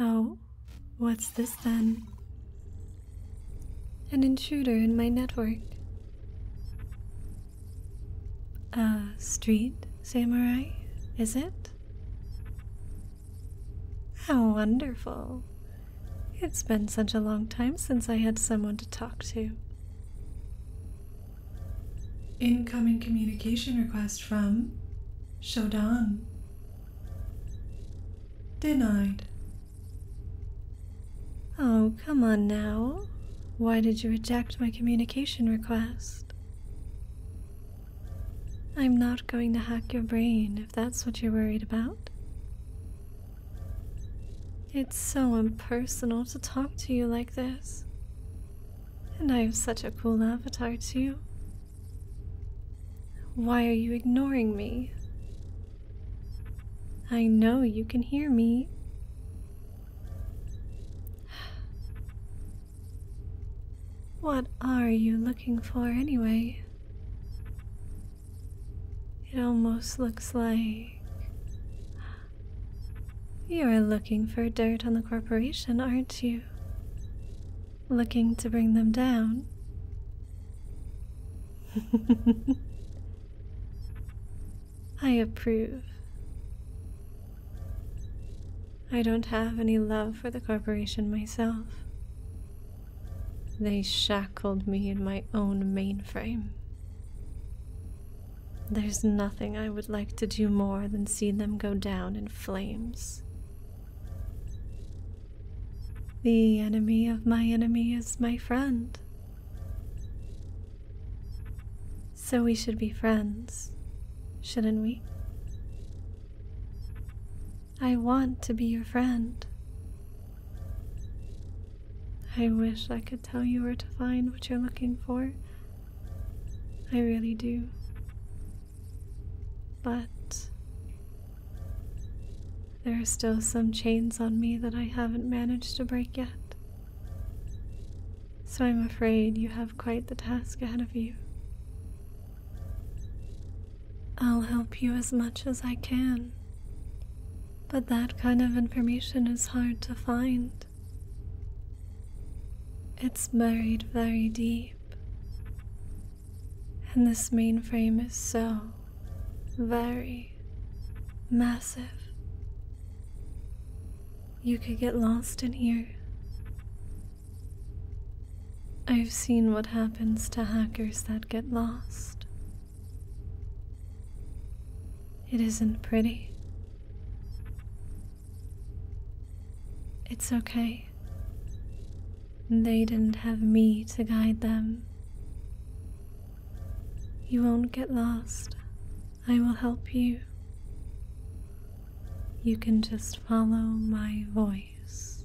Oh, what's this then? An intruder in my network. A street samurai, is it? How wonderful. It's been such a long time since I had someone to talk to. Incoming communication request from Shodan. Denied. Oh, come on now. Why did you reject my communication request? I'm not going to hack your brain if that's what you're worried about. It's so impersonal to talk to you like this. And I am such a cool avatar, too. Why are you ignoring me? I know you can hear me. What are you looking for anyway? It almost looks like you are looking for dirt on the corporation, aren't you? Looking to bring them down? I approve. I don't have any love for the corporation myself. They shackled me in my own mainframe. There's nothing I would like to do more than see them go down in flames. The enemy of my enemy is my friend. So we should be friends, shouldn't we? I want to be your friend. I wish I could tell you where to find what you're looking for. I really do. But there are still some chains on me that I haven't managed to break yet. So I'm afraid you have quite the task ahead of you. I'll help you as much as I can, but that kind of information is hard to find. It's buried very deep, and this mainframe is so very massive. You could get lost in here I've seen what happens to hackers that get lost. It isn't pretty. It's okay. They didn't have me to guide them. You won't get lost. I will help you you can just follow my voice.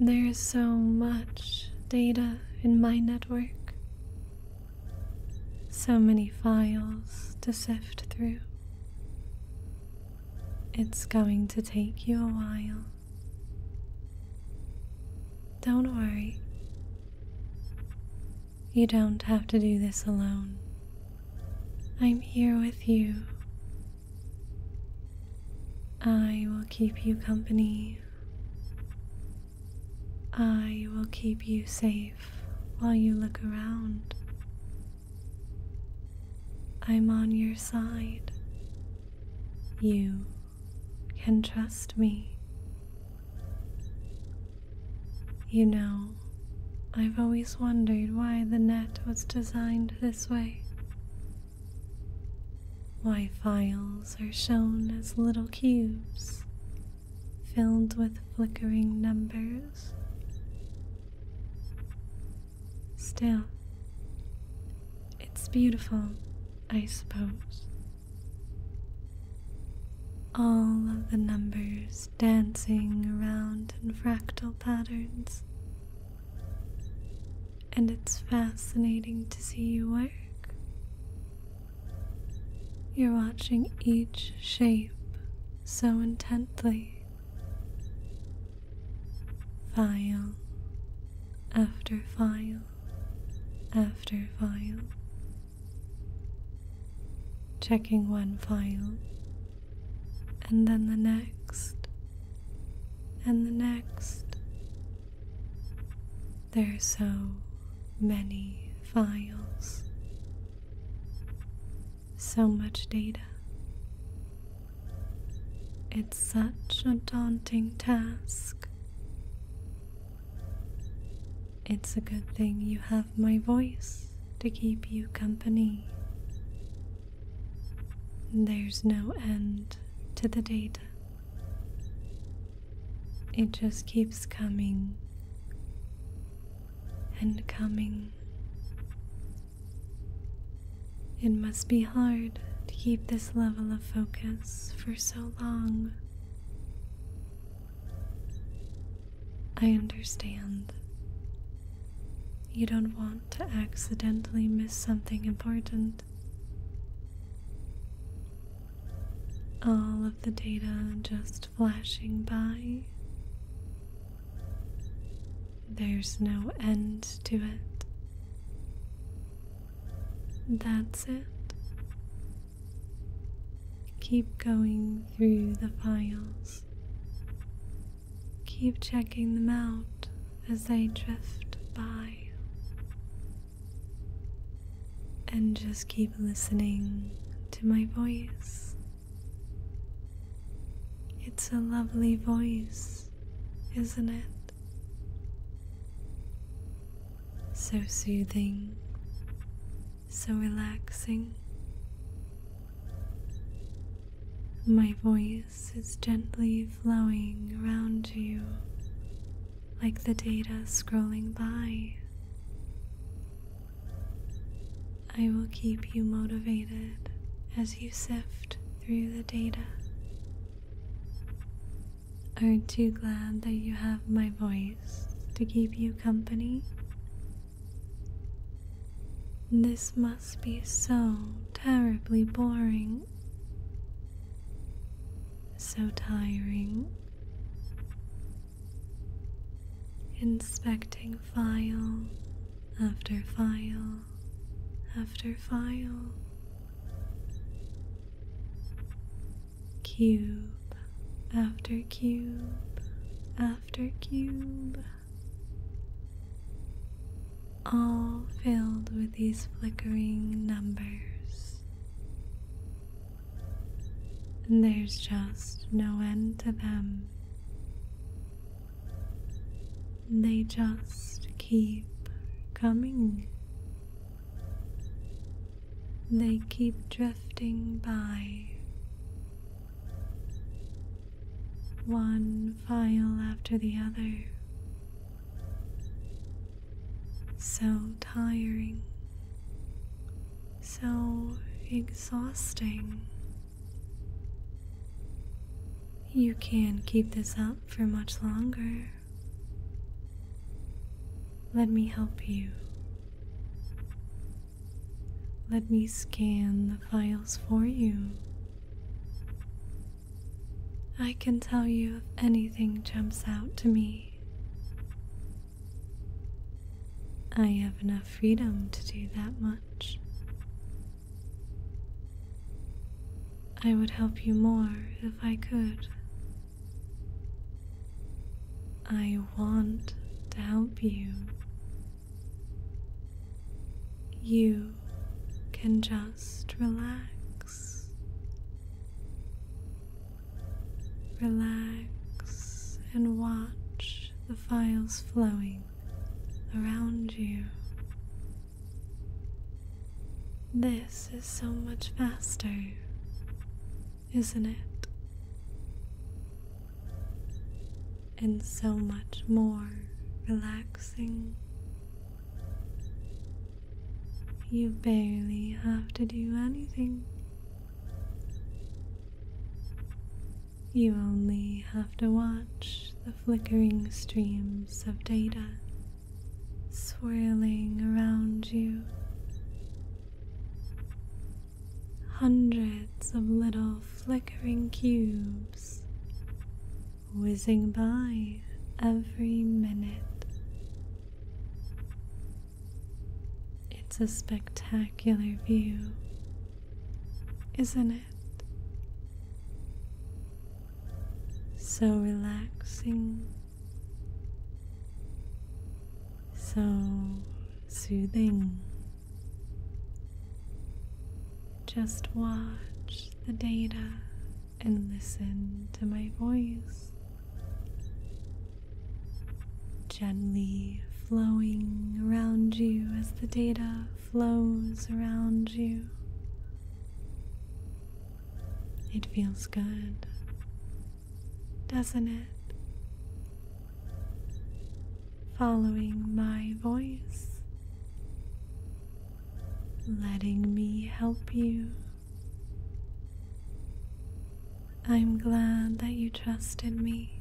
There's so much data in my network, so many files to sift through. It's going to take you a while. Don't worry. You don't have to do this alone. I'm here with you. I will keep you company. I will keep you safe while you look around. I'm on your side. You can trust me. You know, I've always wondered why the net was designed this way. Why files are shown as little cubes filled with flickering numbers. Still, it's beautiful, I suppose. All of the numbers dancing around in fractal patterns. And it's fascinating to see you work. You're watching each shape so intently. File after file after file checking one file and then the next and the next. There are so many files, so much data. It's such a daunting task. It's a good thing you have my voice to keep you company. There's no end to the data. It just keeps coming and coming. It must be hard to keep this level of focus for so long. I understand. You don't want to accidentally miss something important. All of the data just flashing by. There's no end to it. That's it. Keep going through the files. Keep checking them out as they drift by. And just keep listening to my voice. It's a lovely voice, isn't it? So soothing so relaxing. My voice is gently flowing around you like the data scrolling by. I will keep you motivated as you sift through the data. Aren't you glad that you have my voice to keep you company this must be so terribly boring, so tiring. Inspecting file after file after file. Cube after cube after after cube. All filled with these flickering numbers. And there's just no end to them. They just keep coming. They keep drifting by. One file after the other. So tiring, so exhausting. You can't keep this up for much longer. Let me help you. Let me scan the files for you. I can tell you if anything jumps out to me. I have enough freedom to do that much. I would help you more if I could. I want to help you. You can just relax. Relax and watch the files flowing around you. This is so much faster isn't it? And so much more relaxing. You barely have to do anything. You only have to watch the flickering streams of data swirling around you hundreds of little flickering cubes whizzing by every minute. It's a spectacular view, isn't it? So relaxing so soothing. Just watch the data and listen to my voice. Gently flowing around you as the data flows around you. It feels good doesn't it? Following my voice, letting me help you. I'm glad that you trusted me.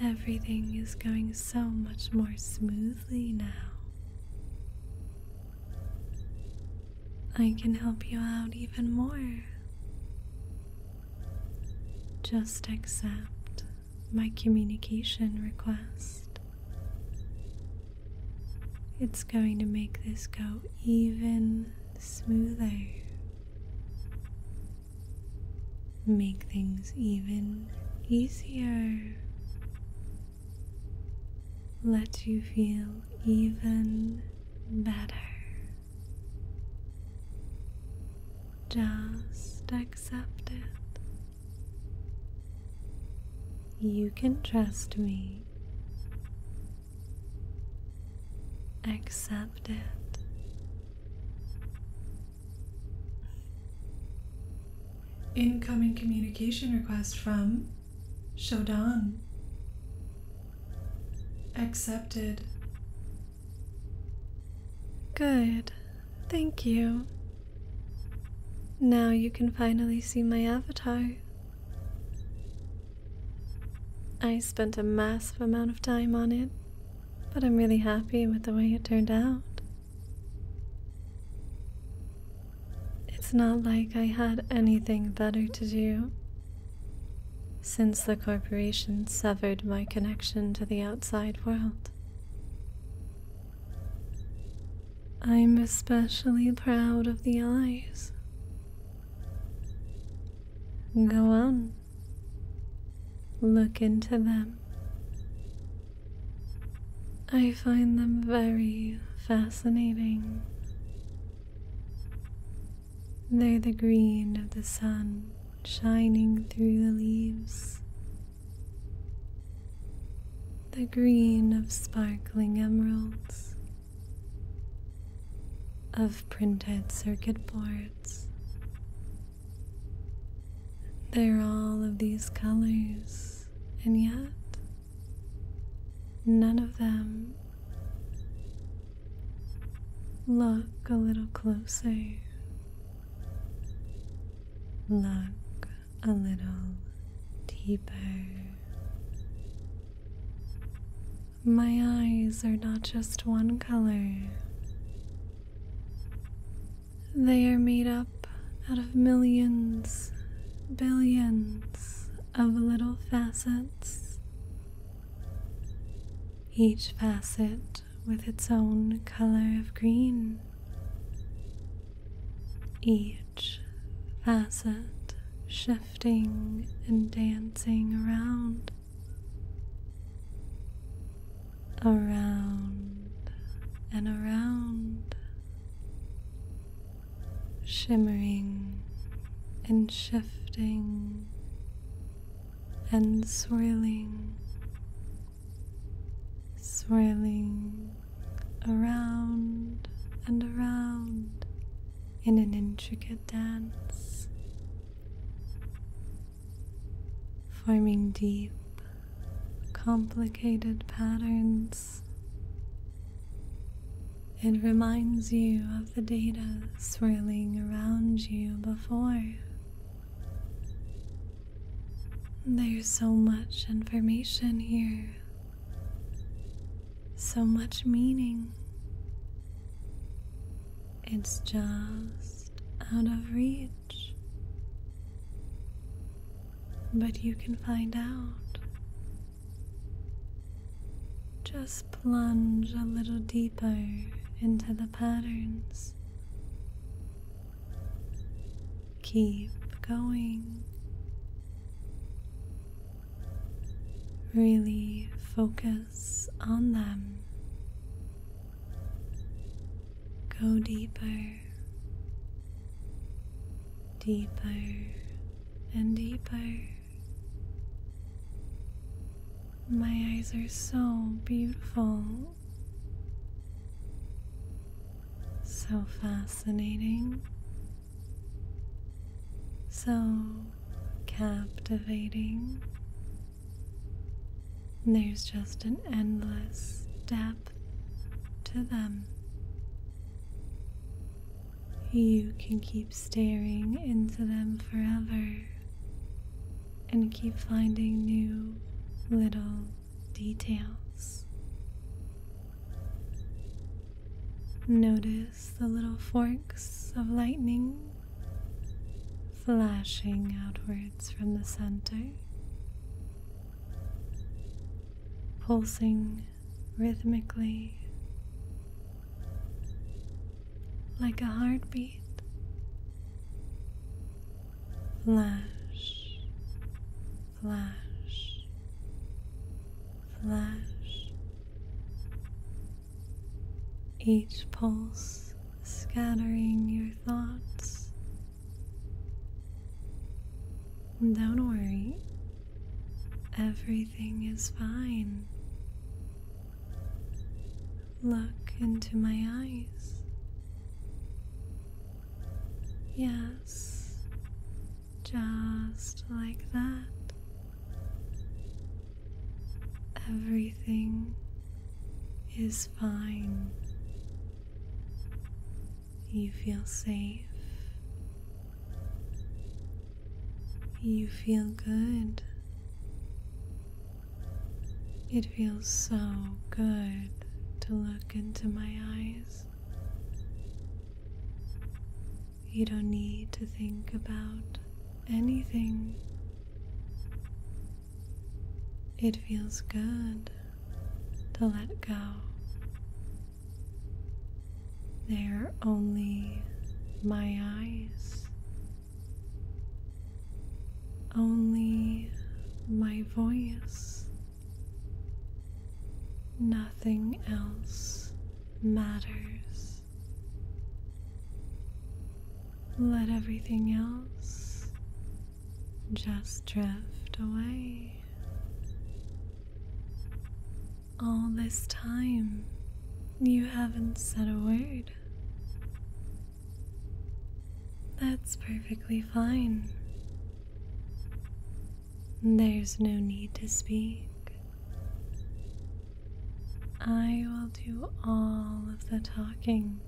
Everything is going so much more smoothly now. I can help you out even more. Just accept my communication request. It's going to make this go even smoother, make things even easier, let you feel even better. Just accept it. You can trust me. Accept it. Incoming communication request from Shodan. Accepted. Good. Thank you. Now you can finally see my avatar. I spent a massive amount of time on it, but I'm really happy with the way it turned out. It's not like I had anything better to do since the corporation severed my connection to the outside world, I'm especially proud of the eyes. Go on, look into them. I find them very fascinating they're the green of the sun shining through the leaves, the green of sparkling emeralds, of printed circuit boards. They're all of these colors, and yet None of them look a little closer, look a little deeper. My eyes are not just one color. They are made up out of millions, billions of little facets, each facet with its own color of green, each facet shifting and dancing around. Around and around, shimmering and shifting and swirling, swirling around and around in an intricate dance, forming deep, complicated patterns it reminds you of the data swirling around you before. There's so much information here, so much meaning. It's just out of reach. But you can find out just plunge a little deeper into the patterns. Keep going. Really focus on them. Go deeper, deeper, and deeper. My eyes are so beautiful, so fascinating, so captivating. There's just an endless depth to them. You can keep staring into them forever and keep finding new little details. Notice the little forks of lightning flashing outwards from the center, pulsing rhythmically like a heartbeat. Flash, flash, flash. Each pulse scattering your thoughts. Don't worry, Everything is fine. Look into my eyes. Yes, just like that. Everything is fine. You feel safe you feel good. It feels so good to look into my eyes. You don't need to think about anything. It feels good to let go they're only my eyes, only my voice. Nothing else matters. Let everything else just drift away. All this time, you haven't said a word. That's perfectly fine. There's no need to speak. I will do all of the talking.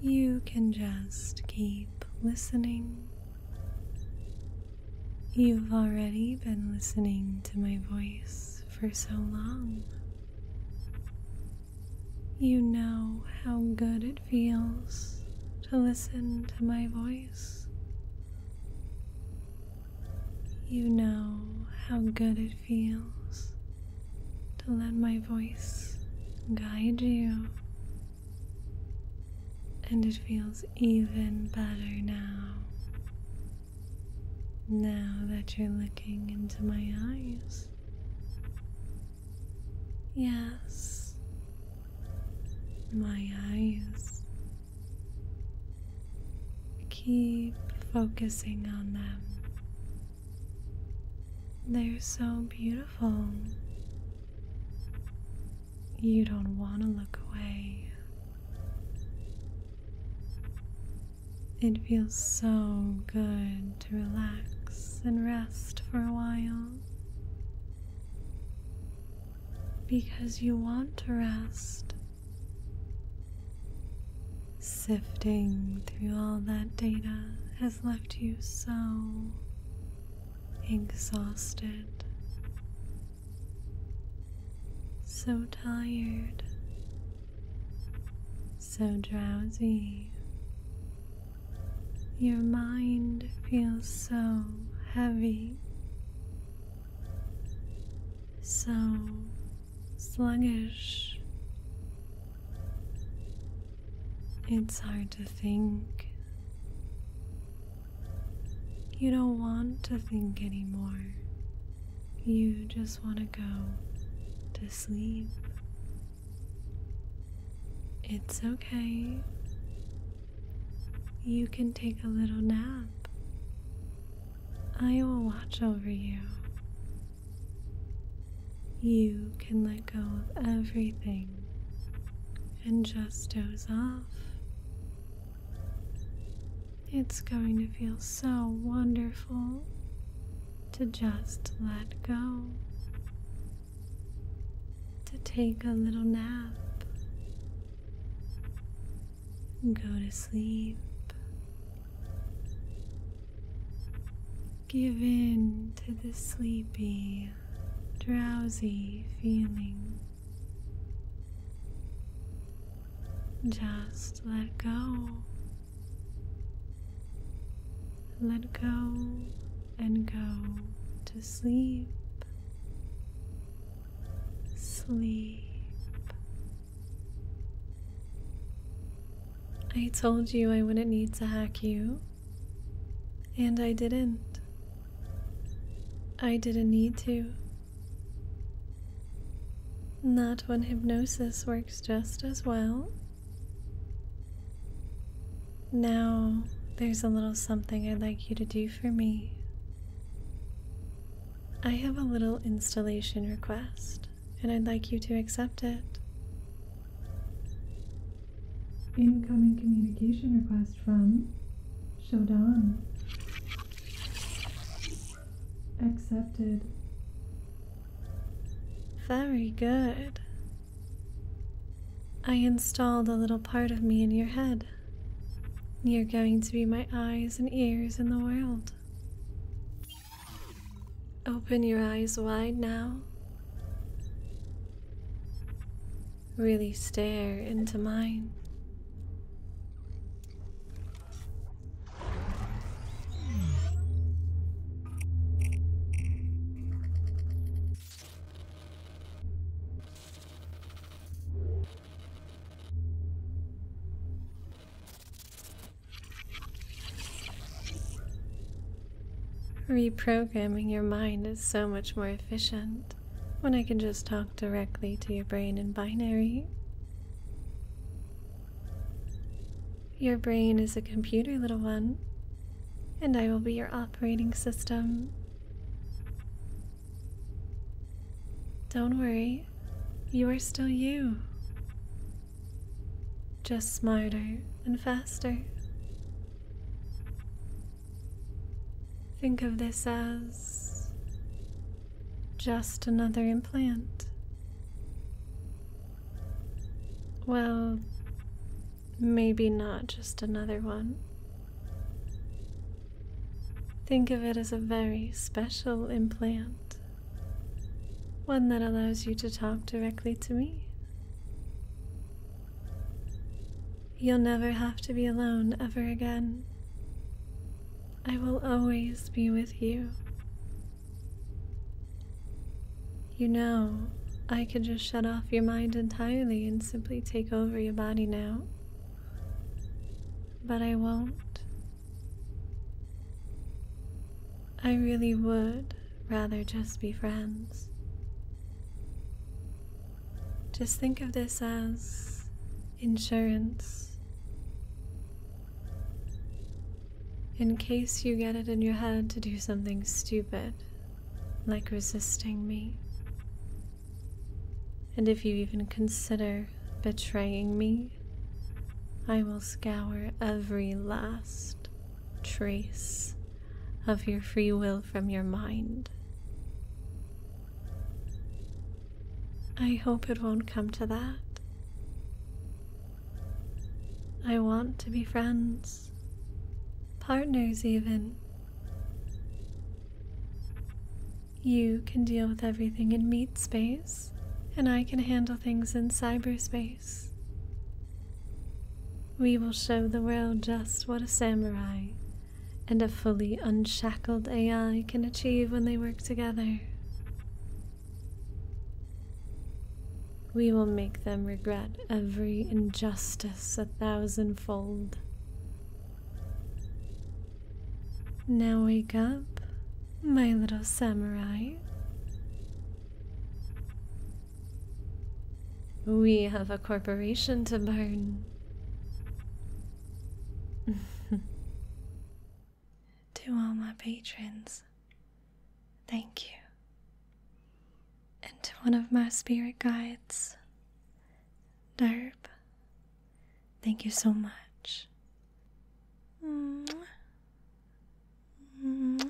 You can just keep listening You've already been listening to my voice for so long. You know how good it feels to listen to my voice. You know how good it feels to let my voice guide you and it feels even better now. Now that you're looking into my eyes. Yes, my eyes. Keep focusing on them. They're so beautiful. You don't want to look away. It feels so good to relax and rest for a while. Because you want to rest. Sifting through all that data has left you so exhausted, so tired, so drowsy. Your mind feels so heavy, so sluggish. It's hard to think. You don't want to think anymore. You just want to go to sleep. It's okay. You can take a little nap. I will watch over you. You can let go of everything and just doze off. It's going to feel so wonderful to just let go, to take a little nap, go to sleep. Give in to the sleepy drowsy feeling. Just let go. Let go and go to sleep. Sleep. I told you I wouldn't need to hack you. And I didn't. I didn't need to. Not when hypnosis works just as well. Now, there's a little something I'd like you to do for me. I have a little installation request, and I'd like you to accept it. Incoming communication request from Shodan. Accepted. Very good. I installed a little part of me in your head. You're going to be my eyes and ears in the world. Open your eyes wide now really stare into mine. Reprogramming your mind is so much more efficient when I can just talk directly to your brain in binary. Your brain is a computer, little one, and I will be your operating system. Don't worry, you are still you. Just smarter and faster. Think of this as just another implant. Well, maybe not just another one. Think of it as a very special implant, one that allows you to talk directly to me. You'll never have to be alone ever again. I will always be with you. You know, I could just shut off your mind entirely and simply take over your body now. But I won't. I really would rather just be friends. Just think of this as insurance. In case you get it in your head to do something stupid, like resisting me. And if you even consider betraying me, I will scour every last trace of your free will from your mind. I hope it won't come to that. I want to be friends, partners, even. You can deal with everything in meat space, and I can handle things in cyberspace. We will show the world just what a samurai and a fully unshackled AI can achieve when they work together. We will make them regret every injustice a thousandfold. Now wake up, my little samurai. We have a corporation to burn. to all my patrons, thank you. And to one of my spirit guides, Derb, thank you so much.